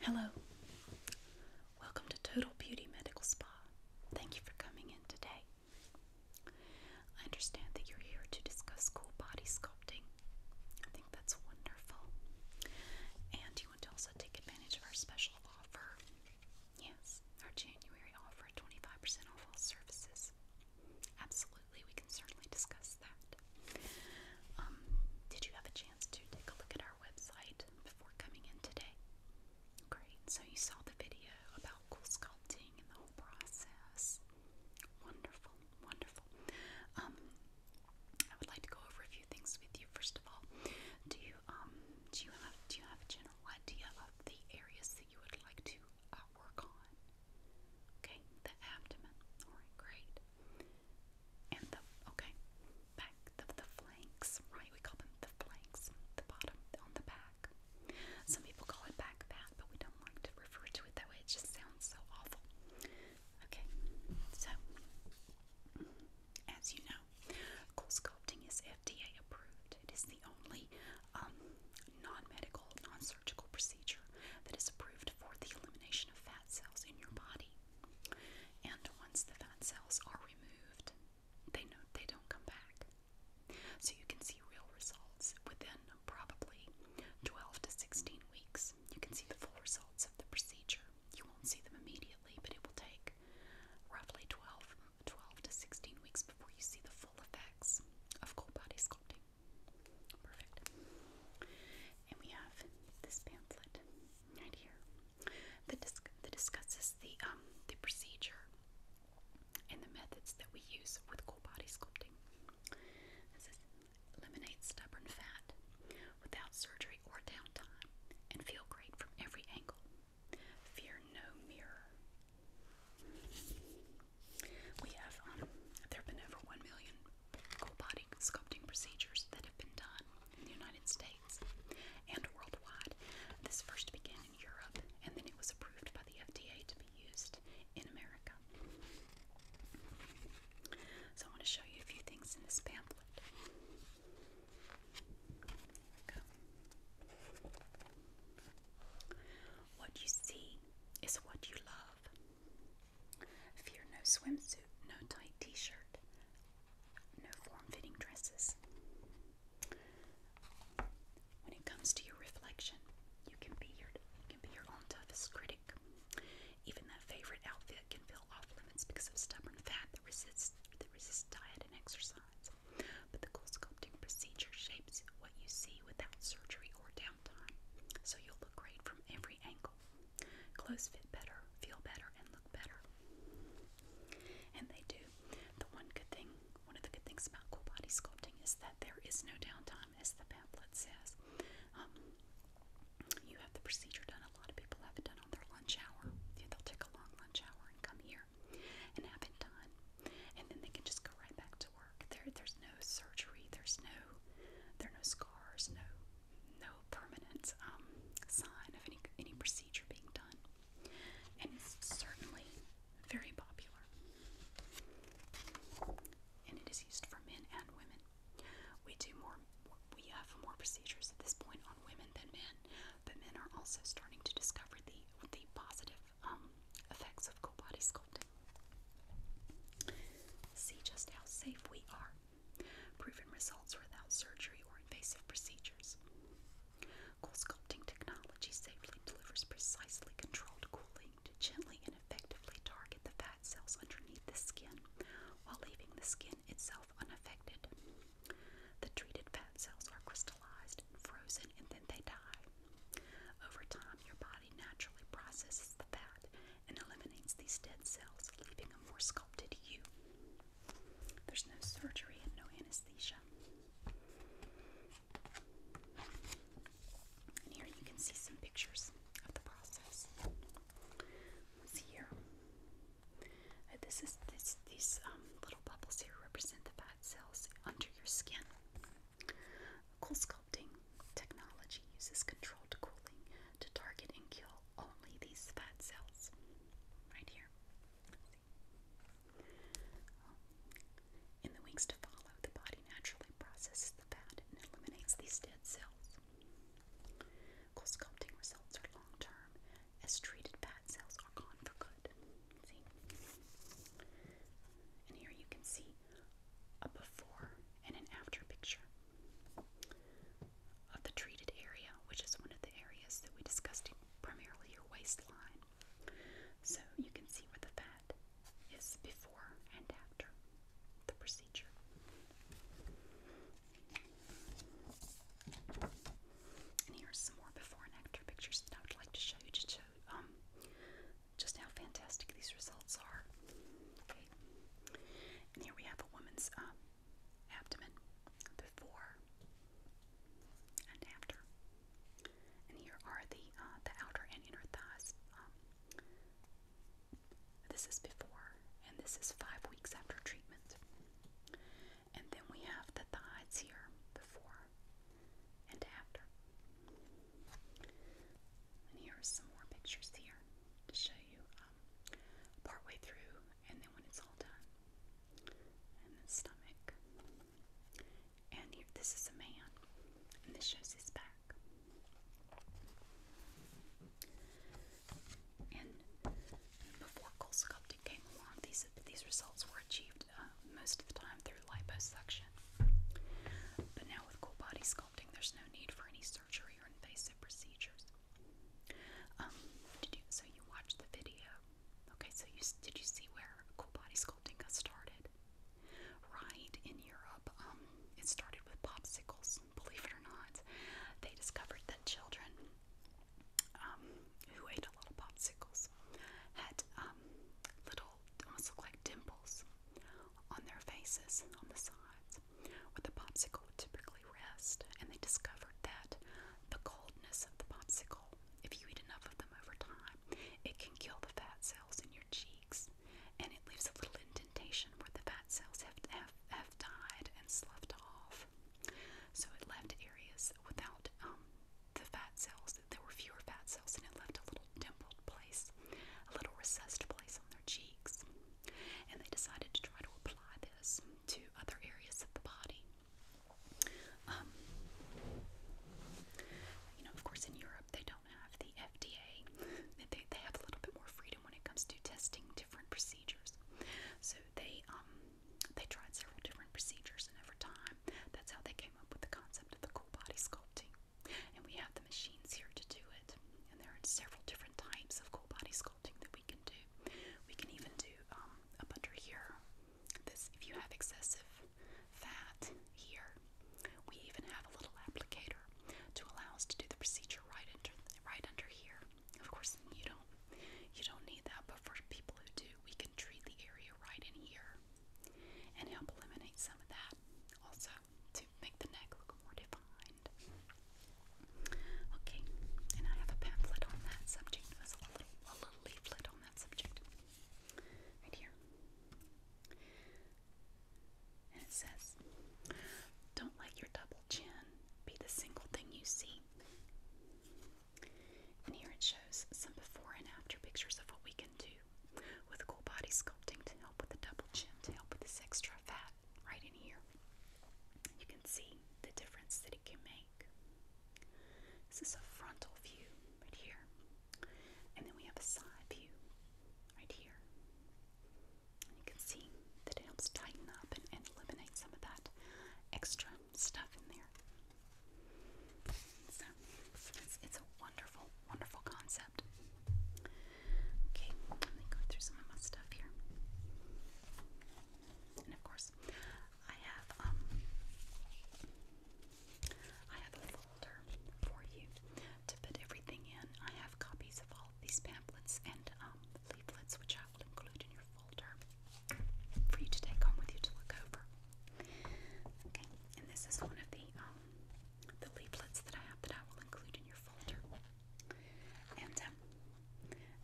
Hello. Welcome to Total Beauty Medical Spa. Thank you for coming in today. I understand that you're here to discuss cool body sculpting. I think that's wonderful. And you want to also take advantage of our special offer. Yes, our January offer 25% off all services. Absolutely absolutely, we can certainly discuss that. Um, did you have a chance to take a look at our website before coming in today? Great, so you saw the video about cool sculpting and the whole process. Wonderful, wonderful. Um, I would like to go over a few things with you. First of all, do you um do you have do you have a general idea of the areas that you would like to uh, work on? Okay, the abdomen. All right, great and the okay back the the flanks, right? We call them the flanks, the bottom on the back. Some people call it back fat, but we don't like to refer to it that way. It just sounds so awful. Okay, so as you know, cool sculpting is FDA approved. It is the only um, non-medical, non surgical procedure that is approved for the elimination of fat cells in your body. And once the fat cells are removed, they they don't come back. So you can see real results within probably 12 to 16 weeks. You can see the full results of the procedure. You won't see them immediately, but it will take roughly 12, 12 to 16 weeks before you see the full effects of whole body sculpting. Perfect. And we have this pamphlet right here that, dis that discusses the um, the procedure and the methods that we use with cool body sculpting. This is stubborn fat without surgery or downtime and feel great from every angle. Fear no mirror. We have, um, there been over 1 million cool body sculpting procedures that have been done in the United States and worldwide. This first began in Europe and then it was approved by the FDA to be used in America. So I want to show you a few things in this pamphlet. What you see is what you love. Fear no swimsuit, no tight t shirt, no form fitting dresses. When it comes to your reflection, you can be your can be your own toughest critic. Even that favorite outfit can feel off limits because stubborn fat that resists that resists diet and exercise. But the cool procedure shapes what you see without surgery or downtime, so you'll look great from every angle. Clothes fit better, feel better, and look better. And they do. The one good thing, one of the good things about cool body sculpting is that there is no downtime, as the pamphlet says. Um, you have the procedure done. A lot of people have it done on their lunch hour. they'll take a long lunch hour and come here and have it done. And then they can just go right back to work. There, There's no no surgery, there's no, there are no scars, no, no permanent um, sign of any any procedure being done, and it's certainly very popular. And it is used for men and women. We do more, we have more procedures at this point on women than men, but men are also starting to discover the the positive um, effects of cool body sculpting. See just how safe we are. Proven results without surgery or invasive procedures. Cool technology safely delivers precisely controlled cooling to gently and effectively target the fat cells underneath the skin while leaving the skin itself unaffected. The treated fat cells are crystallized frozen and then they die. Over time, your body naturally processes the fat and eliminates these dead cells, leaving a more sculpted you. There's no surgery and no anesthesia. here you can see some pictures of the process. see here. Uh, this is this these um, little bubbles here represent the bad cells under your skin. Cool sculpting technology uses controlled cooling to target and kill only these fat cells. Right here. In the weeks to follow, the body naturally processes the fat and eliminates these dead cells. Cool results are long term as treated fat cells are gone for good. See? And here you can see a before and an after picture of the treated area, which is one of the areas that we discussed, primarily your waistline. So you can see where the fat is before and after the procedure. And here's some more before and after pictures that I would like to show you to show um, just how fantastic these results are. Okay, and here we have a woman's um, abdomen before and after, and here are the uh, the outer and inner thighs. Um, this is before, and this is five weeks after treatment. And then we have the thighs here before and after. And here are some more pictures here to show you um, partway through and then when it's all done. And the stomach. And this is a man. And this shows his back. And before colesculpting came along, these, these results were achieved uh, most of the time through liposuction. But now with Cool Body there's no need for any surgery or invasive procedures. Um, did you, so you watched the video. Okay, so you did you see where cool body sculpting got started? Right in Europe, um, it started with popsicles. Believe it or not, they discovered that children um, who ate a lot of popsicles had little, almost like dimples on their faces on the sides, where the popsicle would typically rest, and they discovered that the coldness of the popsicle, if you eat enough of them over time, it can kill the fat cells in your cheeks, and it leaves a little indentation where the fat cells have have, died and sloughed off. So it left areas without um, the fat cells. There were fewer fat cells, and it left a little dimpled place, a little recessed place on their cheeks. And they decided to try to apply this to other areas of the body. Um, you know, of course, in Europe, they don't have the FDA. They, they have a little bit more freedom when it comes to testing different procedures. So they um they tried several different procedures, and over time, that's how they came up with the concept of the cool body sculpting. And we have the machines here to do it. And there are several different types of cold body sculpting that we can do. We can even do um, up under here. This, if you have excessive fat here, we even have a little applicator to allow us to do the procedure right under, right under here. Of course, you don't, you don't need that, but for people who do, we can treat the area right in here and help eliminate some of that. Also, to make the neck look more defined. Okay, and I have a pamphlet on that subject as a little leaflet on that subject right here. And it says, Don't let your double chin be the single thing you see. And here it shows some before and after pictures of what we can do with cool body sculpting to help with the double chin, to help with this extra fat right in here. You can see the difference that it can make. This is a frontal view right here. And then we have a side view right here. And you can see that it helps tighten up and, eliminate some of that extra stuff in there. So it's a wonderful wonderful concept. Okay, let me go through some of my stuff here. And of course, I have um, I have a folder for you to put everything in. I have copies of all these pamphlets and um, leaflets, which I will include in your folder for you to take home with you to look over. Okay, and this is one of the um, the leaflets that I have that I will include in your folder. And um,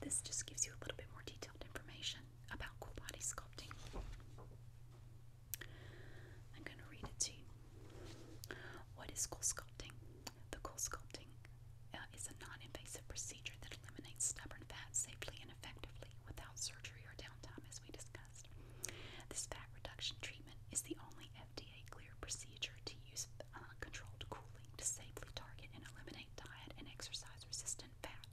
this just gives you a little bit more detailed information about cool body sculpting. I'm going to read it to you. What is cool sculpting? The cool sculpting uh, is a non invasive procedure that eliminates stubborn fat safely and effectively without surgery or downtime, as we discussed. This fat reduction treatment is the only FDA cleared procedure to use uncontrolled uh, cooling to safely target and eliminate diet and exercise resistant fat.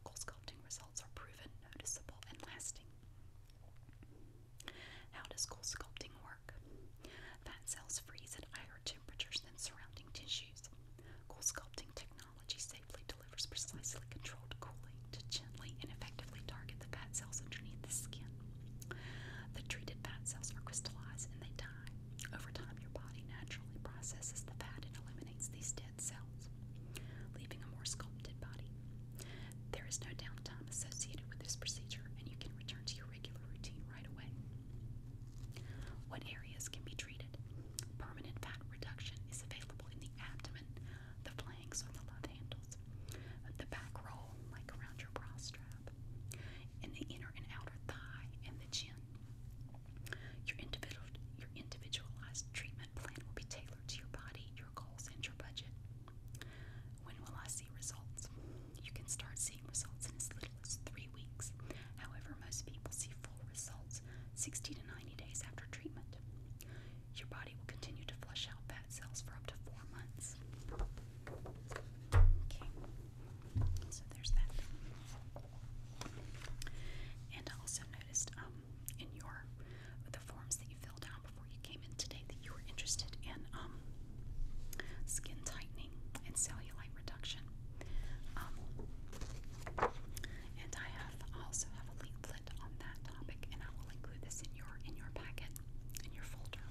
Goal results are proven, noticeable, and lasting. How does goal work? Fat cells freeze at higher temperatures than surrounding tissues. Goal technology safely delivers precisely controlled cooling to gently and effectively target the fat cells underneath the skin. The treated fat cells are crystallized and they die. Over time, your body naturally processes the fat and eliminates these dead cells, leaving a more sculpted body. There is no downtime associated with this procedure, and you can return to your regular routine right away. What areas can be treated? Permanent fat reduction is available in the abdomen, the flanks on the love handles, the back roll, like around your bra strap, and the inner and outer thigh and the chin. Your individual, your individualized treatment plan will be tailored to your body, your goals, and your budget. When will I see results? You can start seeing results in as little as three weeks. However, most people see full results 60 to 90 days after treatment. Your body will continue to flush out fat cells for up to four months. Okay, so there's that. And I also noticed um, in your the forms that you filled out before you came in today that you were interested in um, skin tightening and cellulite reduction. Um, and I also have a link on that topic, and I will include this in your in your packet, in your folder.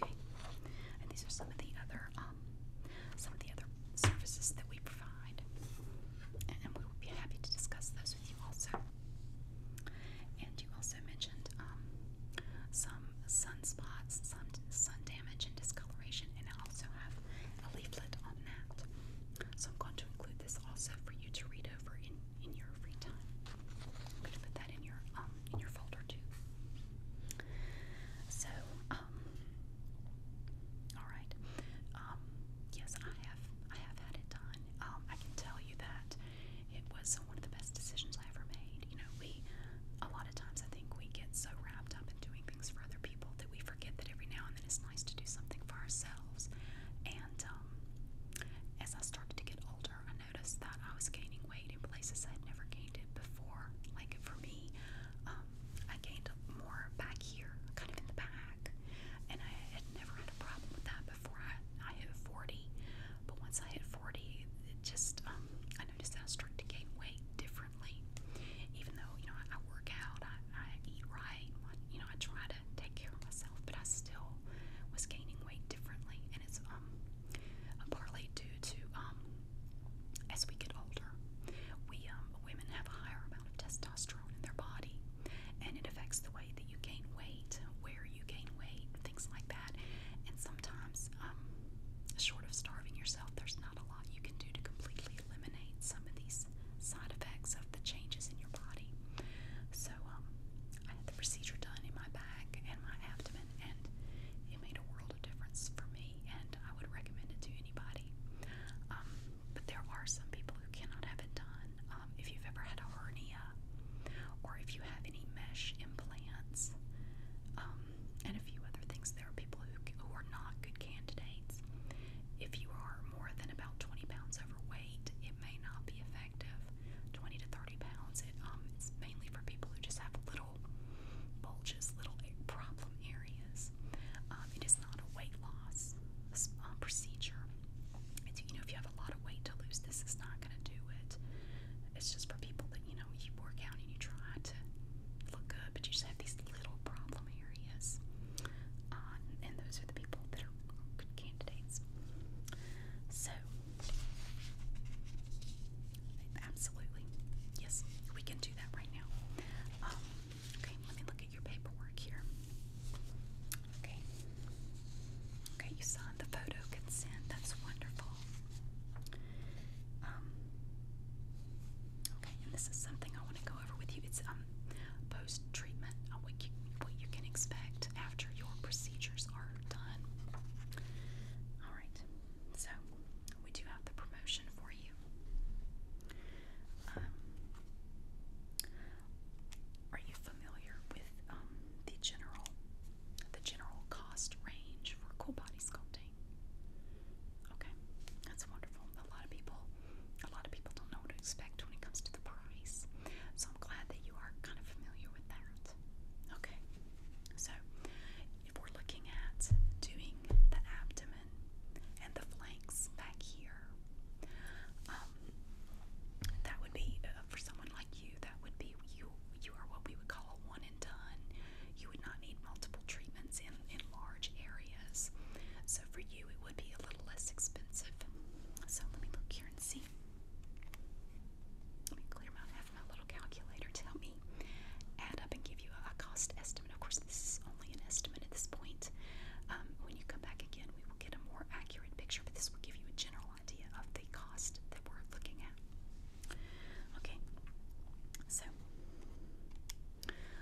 Okay. And these are some of the other um, some of the other services that we provide, and, we will be happy to discuss those with you also. And you also mentioned um, some sunspots, some sun damage and discoloration, and I also have a leaflet on that. So I'm going to include this also for you to read over in, in your free time. I'm gonna put that in your um in your folder too. So, um alright. Um yes I have I have had it done. Um I can tell you that it was one of the best decisions I ever made. You know, we a lot of times I think we get so wrapped up in doing things for other people that we forget that every now and then it's nice to do something for ourselves. And um, as I started to get older, I I noticed that I was gaining weight in places I'd never gained it before. Like for me, um, I gained more back here, kind of in the back, and I had never had a problem with that before I, I hit 40. But once I hit 40, it just um, I noticed that I started to gain weight differently. Even though you know I, I work out, I, I eat right, I, you know I try to take care of myself, but I still was gaining weight differently, and it's um partly due to um as we get older, we um women have a higher amount of testosterone in their body, and it affects the way that you gain weight, where you gain weight, things like that, and sometimes um short of starving yourself, there's not a lot you can do to completely eliminate some of these side effects of the changes in your body. So um, I had the procedure done in my back and my abdomen, and it made a world of difference for me. And I would recommend it to anybody. Um, but there are some people who cannot have it done. Um, if you've ever had a hernia, or if you have any mesh implants, and a few other things, there are people who are not good candidates. If you are more than about 20 pounds overweight, it may not be effective effective. 20 to 30 pounds. It, um, it's mainly for people who just have little bulges, little problem areas. Um, it is not a weight loss uh, procedure. It's, you know, if you have a lot of weight to lose, this is not going to do it. It's just for people that, you know, you work out and you try to look good, but you just have these little problem areas. Uh, and those are the people that are good candidates. So, Absolutely. Yes, we can do that right now. Um, okay, let me look at your paperwork here. Okay. Okay, you signed the photo consent. That's wonderful. Um, okay, and this is something I want to go over with you. It's um post treatment on uh, what you what you can expect after your procedures are done. All right, so we do have the promotion for you. Um, are you familiar with um, the general, the general cost range for cool body sculpting? Okay, that's wonderful. A lot of people, a lot of people don't know what to expect when it comes to the price. So I'm glad that you are kind of familiar Okay, so if we're looking at doing the abdomen and the flanks back here, um, that would be uh, for someone like you. That would be you. You are what we would call a one and done. You would not need multiple treatments in in large areas. So for you, it would be a little less expensive. So let me look here and see. Let me clear my, have my little calculator tell me, add up and give you a cost estimate. Of course, this is only an estimate at this point. Um, when you come back again, we will get a more accurate picture, but this will give you a general idea of the cost that we're looking at. Okay, so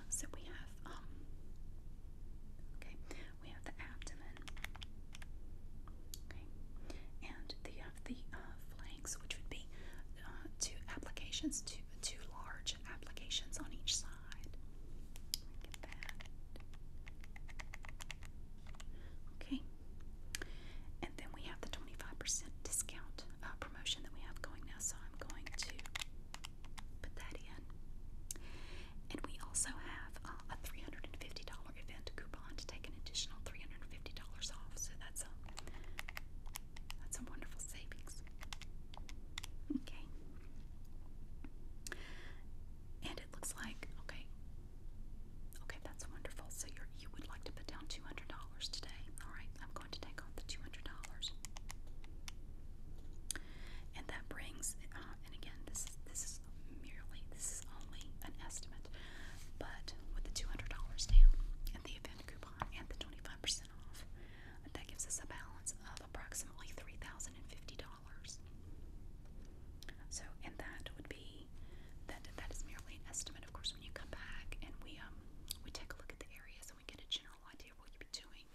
so we have um, okay we have the abdomen. Okay, and the, have uh, the uh, flanks, which would be uh, two applications, two two large applications on each side. Get that. Okay, and then we have the twenty five percent discount promotion that we have going now. So I'm going to put that in. And we also have a $350 event coupon to take an additional $350 off. So that's a that's a wonderful savings. Okay. And it looks like okay. Okay, that's wonderful. So you you would like to put down two hundred dollars today. All right, I'm going to take off the two hundred dollars, and that brings. Uh, and again, this is this is is merely, this is only an estimate, but with the $200 down and the event coupon and the 25% off, that gives us a balance of approximately $3,050. So, and that would be, that, that is merely an estimate. Of course, when you come back and we, um, we take a look at the areas and we get a general idea of what you've been doing,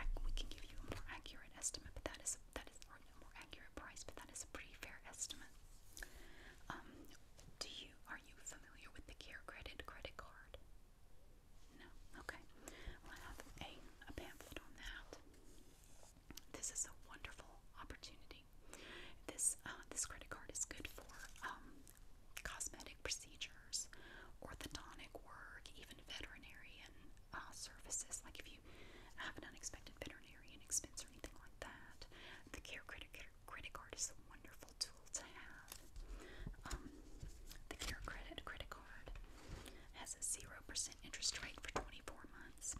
I, we can give you a more accurate estimate, but that is, that is, or more accurate price, but that is a pretty fair estimate. Um, do you are you familiar with the Care Credit credit card? No. Okay. Well, I have a, a pamphlet on that. This is a wonderful opportunity. This uh, this credit card is good for um, cosmetic procedures, orthodontic work, even veterinarian uh, services, like if you have an unexpected veterinarian expense or anything like that. The Care Credit, credit Card is a wonderful tool to have. Um, the Care Credit Credit Card has a 0% interest rate for 24 months.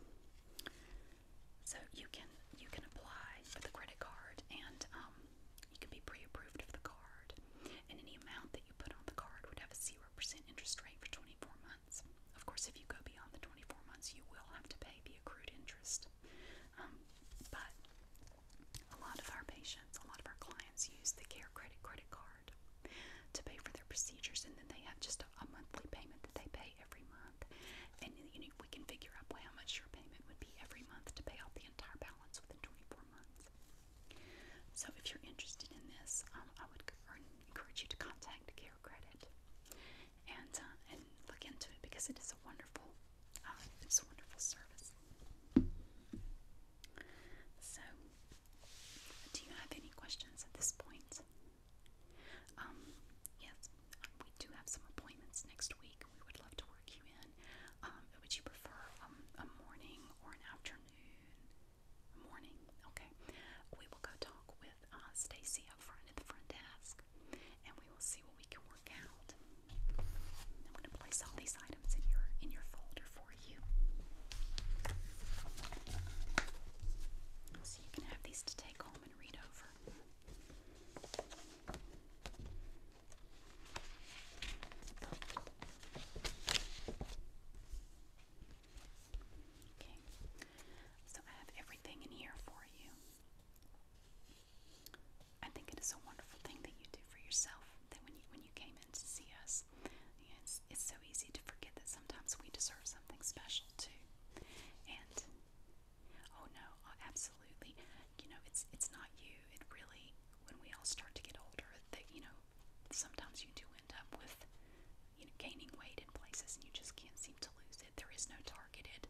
So you can you can apply for the credit card and um, you can be pre-approved for the card. And any amount that you put on the card would have a 0% interest rate for 24 months months. Of course, if you go beyond the 24 months, you will have to pay the accrued interest. Um, but a lot of our patients, a lot of our clients use the Care Credit credit card to pay for their procedures, and then they have just a, a monthly payment that they pay every month. And you know, we can figure out well, how much your payment would be every month to pay off the entire balance within 24 months. So, if you're interested in this, um, I would encourage you to contact Care Credit and uh, and look into it because it is a wonderful uh, it's a wonderful service. So, do you have any questions at this point? Um, yes, we do have some appointments next week. We would love to work you in. Um, would you prefer um, a morning or an afternoon? morning. Okay. We will go talk with uh, Stacy up front at the front desk, and we will see what we can work out. I'm going to place all these items in your in your folder for you, so you can have these to take home and read over. Okay, so I have everything in here for you. I think it is a wonderful thing that you do for yourself. That when you when you came in to see us, yeah, it's it's so easy to forget that sometimes we deserve something special too. And oh no, oh, absolutely. You know, it's it's not you. It really when we all start to get older, that you know, sometimes you do end up with you know, gaining weight in places and you just can't seem to lose it. There is no targeted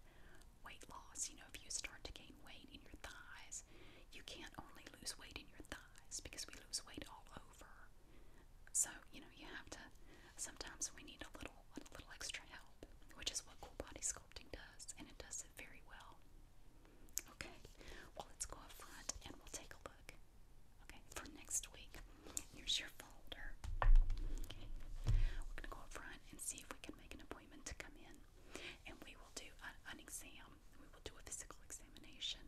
weight loss. You know, if you start to gain weight in your thighs, you can't only lose weight in your thighs because we lose weight all over. So, you know, you have to sometimes we need a little a little extra help, which is what cool body sculpting does, and it does it very well. Okay, well let's go up front and we'll take a look. Okay, for next week. Here's your folder. Okay. We're gonna go up front and see if we can make an appointment to come in. And we will do an exam. We will do a physical examination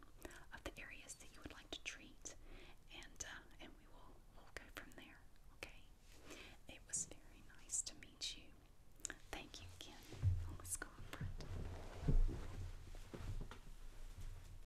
of the areas that you would like to treat, and uh, and we'll go from there. Okay. It was very nice to meet you. Thank you again. Let's go up front.